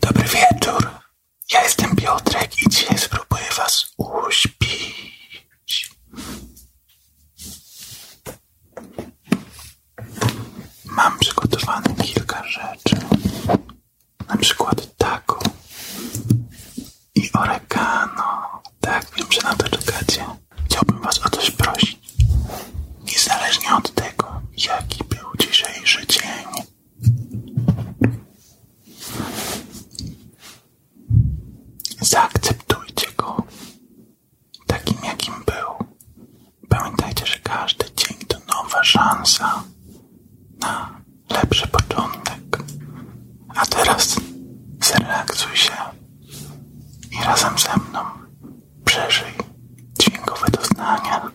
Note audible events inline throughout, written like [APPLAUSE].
Dobry wieczór, ja jestem Piotrek i dzisiaj spróbuję was uśpić. Mam przygotowane kilka rzeczy, na przykład taką i oregano. Tak, wiem, że na to czekacie. Chciałbym was o coś prosić. Niezależnie od tego, jaki był dzisiejszy dzień, Zaakceptujcie go takim, jakim był. Pamiętajcie, że każdy dzień to nowa szansa na lepszy początek. A teraz zrelaksuj się i razem ze mną przeżyj dźwiękowe doznania.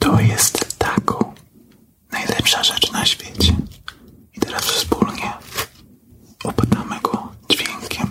To jest taką najlepsza rzecz na świecie. I teraz wspólnie opatamy go dźwiękiem.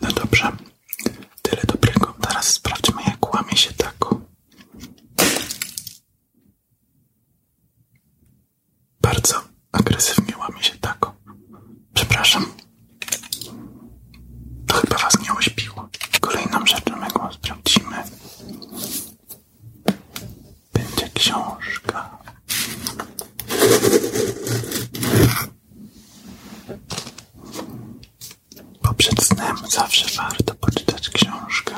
No dobrze, tyle dobrego. Teraz sprawdźmy, jak łamie się tako. Bardzo agresywnie łamie się tako. Przepraszam. To chyba was nie ośpiło. Kolejną rzeczą, go sprawdzimy, będzie książka. Bo przed snem zawsze warto poczytać książkę.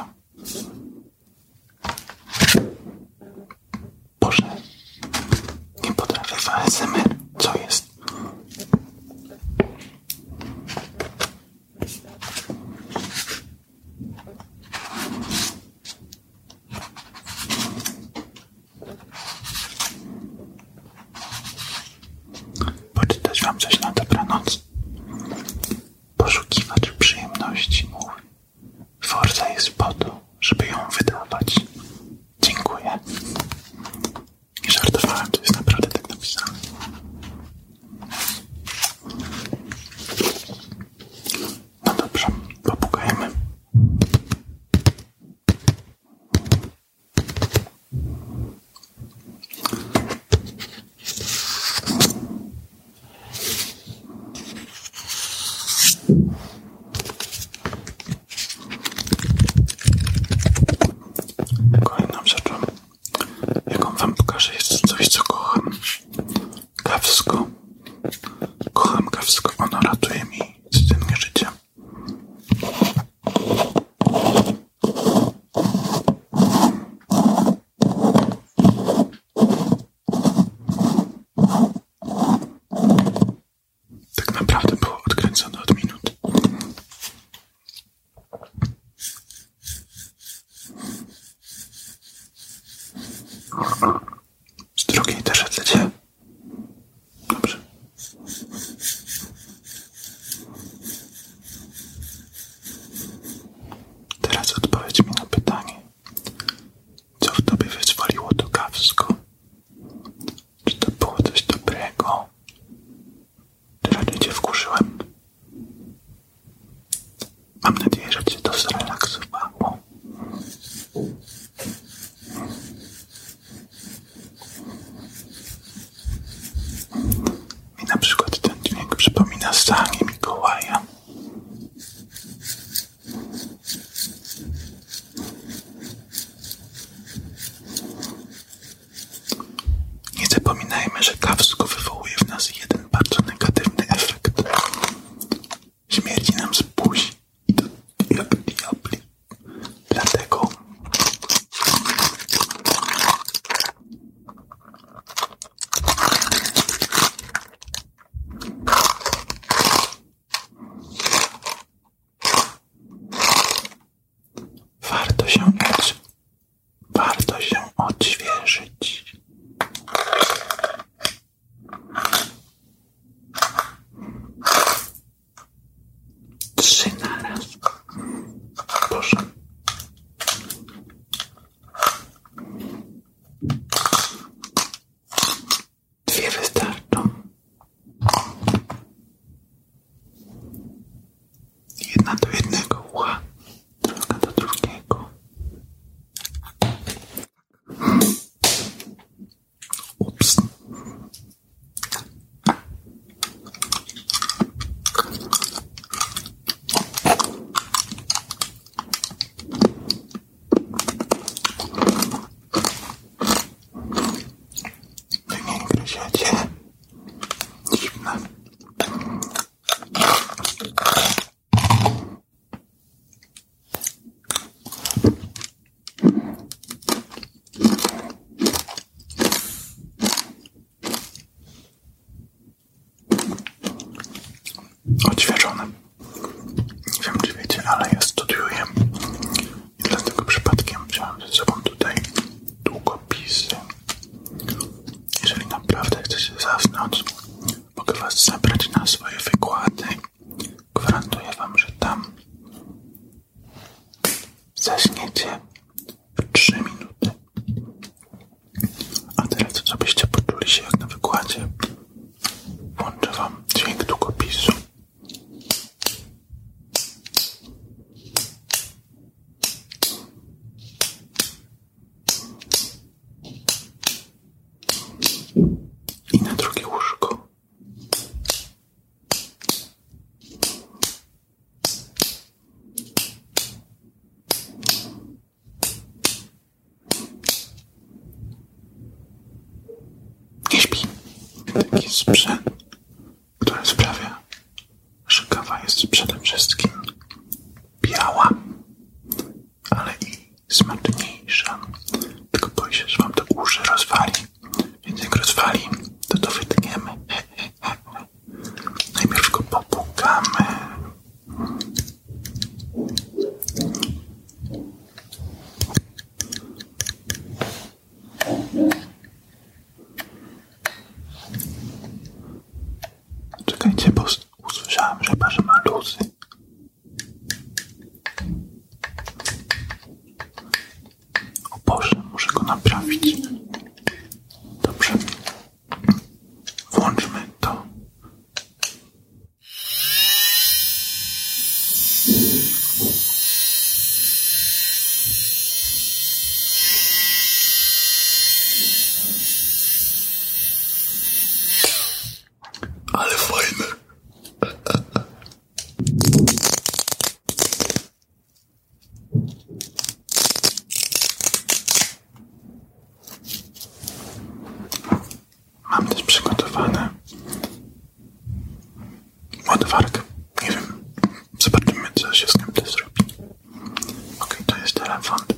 Boże, nie potrafię w ASMR. Co jest? Poczytać wam coś na dobranoc. Poszukiwacz przyjemności mówi. Forza jest po to, żeby ją wydawać. Dziękuję. I żartowałem, to jest naprawdę tak napisane. No dobrze, popukajmy. Kolejną rzeczą jaką wam pokażę, jest coś, co kocham. Kawsko. Kocham kawsko, ono ratuje mi codziennie życie. Tak naprawdę było odkręcone od minut. Z drugiej też chcecie? Teraz odpowiedz mi na pytanie. Co w tobie wyzwoliło to gawsko? Czy to było coś dobrego? Tyle cię wkurzyłem. Mam nadzieję, że cię to zrelaksowało. I na przykład ten dźwięk przypomina sanie Mikołaja. Nie zapominajmy, że kawsko wywołuje w nas jeden bardzo negatywny efekt. Śmierdzi nam z buzi i to jak diabli. Dlatego warto się uczyć warto się odświeżyć. Trzy na raz. Proszę. Dwie Jedna do jednego ucha, druga do drugiego. Ups. Wy nie Odświeżone. Nie wiem, czy wiecie, ale ja studiuję i dlatego przypadkiem wziąłem że sobą tutaj długopisy jeżeli naprawdę chcecie zasnąć, mogę Was zabrać na swoje wykłady. Gwarantuję Wam, że tam zaśniecie w 3 minuty. A teraz, żebyście poczuli się jak na wykładzie, włączę Wam dźwięk długopisu i na drugie łóżko. Nie śpi. Jest sprzęt, który sprawia, Szykawa jest przede wszystkim biała, ale i smaczniejsza. Tylko boję się, że wam te uszy rozwali. Więc jak rozwali, to to wytniemy. [LAUGHS] Najpierw go popłukamy. Czekajcie, bo Usłyszałem, że Pasza ma luz. go naprawić. Dobrze. Włączmy to. Ale fajne. Mam też przygotowane odwarkę. Nie wiem, zobaczymy co się z tym zrobi. to jest telefon.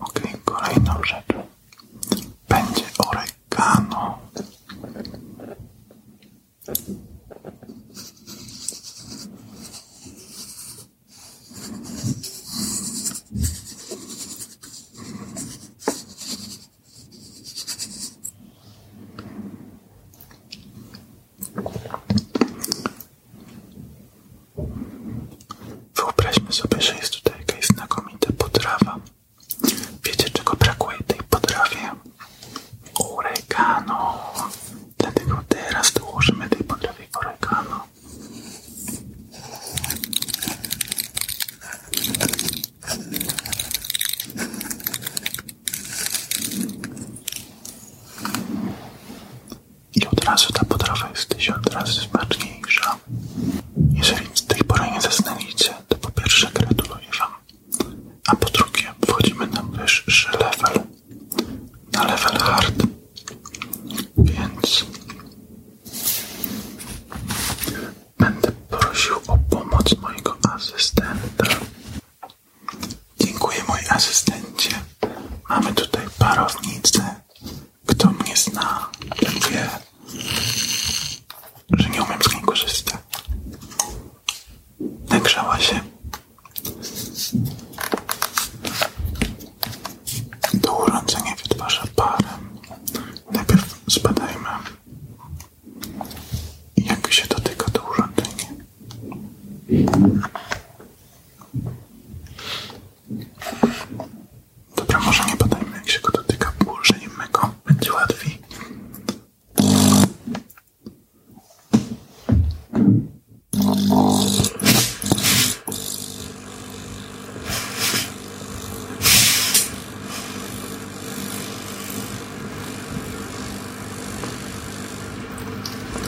Ok, kolejną rzecz będzie oregano. Wyobraźmy sobie, że jest tutaj jakaś znakomita potrawa. Wiecie, czego brakuje tej potrawie? Oregano. Dlatego teraz dołożymy tej potrawie oregano i od razu ta potrawa jest tysiąc razy smaczniejsza. Jeżeli z tej pory nie zasnęliście, to po pierwsze gratuluję Wam, a po drugie wchodzimy na wyższy level, na level hard, więc będę prosił o pomoc mojego asystenta. Dziękuję, mój asystencie. Mamy tutaj parownicę, kto mnie zna, ten wie, że nie umiem z niej korzystać. Nagrzała się. To urządzenie wytwarza parę. Najpierw zbadajmy, jak się dotyka to urządzenie. Dobra, może nie badajmy, jak się go dotyka położeniem go. Będzie łatwiej.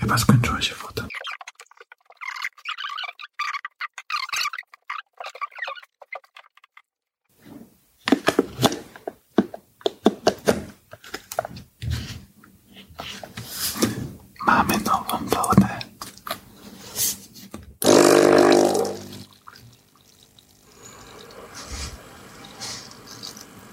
Chyba skończyła się woda. Mamy nową wodę.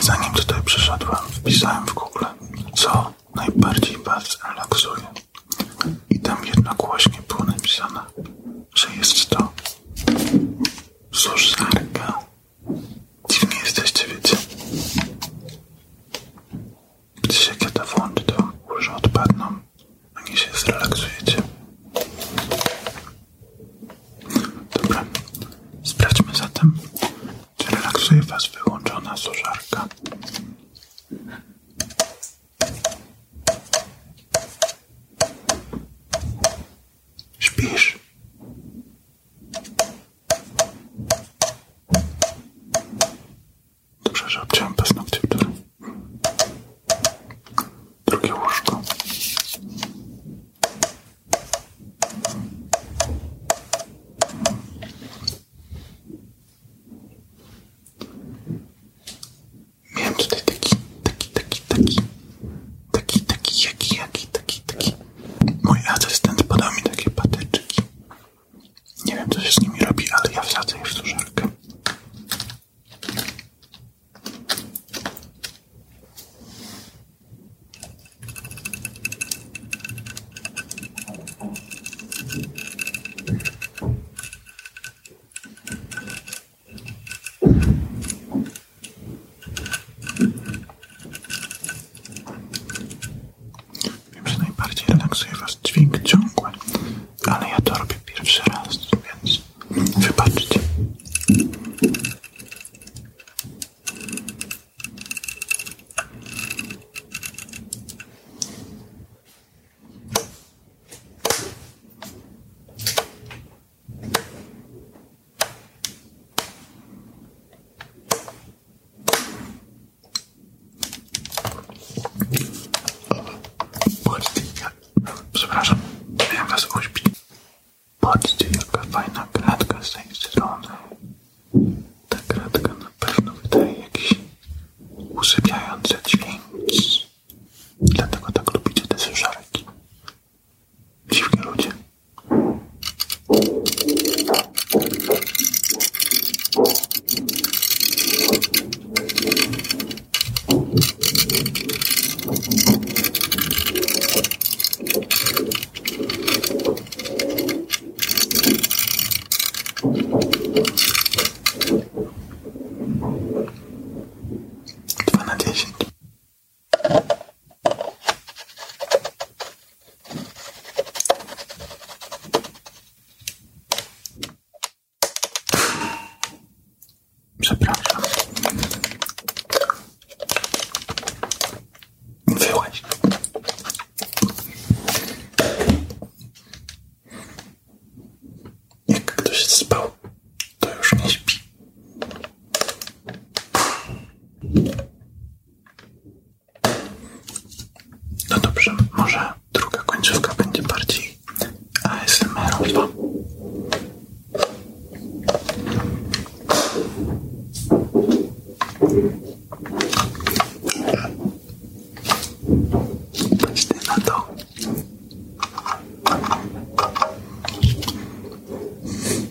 Zanim tutaj przyszedłem, wpisałem w Google, co najbardziej was relaksuje. I tam jednogłośnie było napisane, że jest to Suszarka. Dziwnie jesteście, wiecie. Gdzieś jak ja to włączę, to łyże odpadną, a nie się zrelaksujecie. Dobra, sprawdźmy zatem, czy relaksuje was wyłączona suszarka. Śpisz. Dobrze, że obciąłem paznokcie wczoraj. Drugie łóżko. Miałem tutaj taki, taki, taki, taki Taki, taki, jaki, jaki, taki, taki. Mój asystent podał mi takie patyczki. Nie wiem, co się z nimi robi, ale ja wsadzę je w suszarkę. Wiem, że najbardziej relaksuje Was dźwięk ciągły, ale ja to robię pierwszy raz, więc wybaczcie. Patrzcie, jak... Przepraszam, miałem was fajna kratka z tej strony. Ta kratka na pewno wydaje jakiś usypiający dźwięk. Dlatego tak lubicie te słyszarki. Dziwni ludzie. Dwa na dziesięć. Przepraszam. Wyłaź. Jak ktoś spał, to już nie śpi. No dobrze, może druga końcówka będzie bardziej ASMR-owa. na to.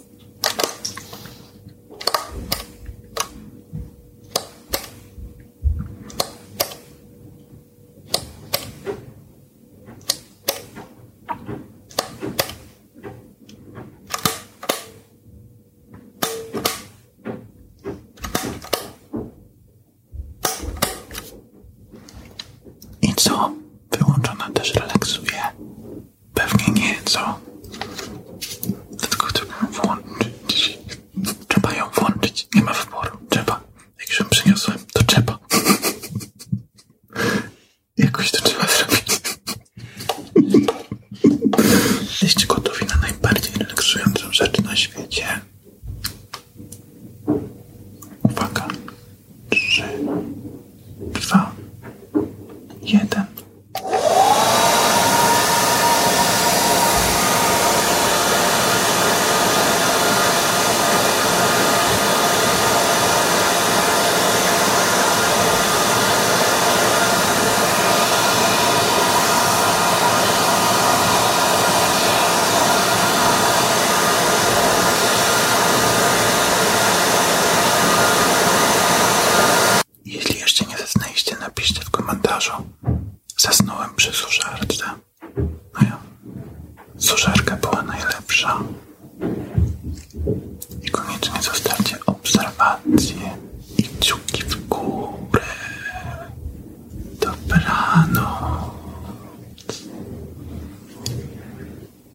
I co? Wyłączona też relaksuje Pewnie nieco. Dlatego trzeba włączyć. Trzeba ją włączyć. Nie ma wyboru. Trzeba. Jak już ją przyniosłem, to trzeba. [LAUGHS] Jakoś to trzeba zrobić. [LAUGHS] Jesteście gotowi na najbardziej relaksującą rzecz na świecie. Uwaga trzy, dwa, jeden. Jeśli jeszcze nie zasnęliście, napiszcie w komentarzu. Zasnąłem przy suszarce. No ja. suszarka była najlepsza. I koniecznie zostawcie obserwacje i kciuki w górę. Dobranoc.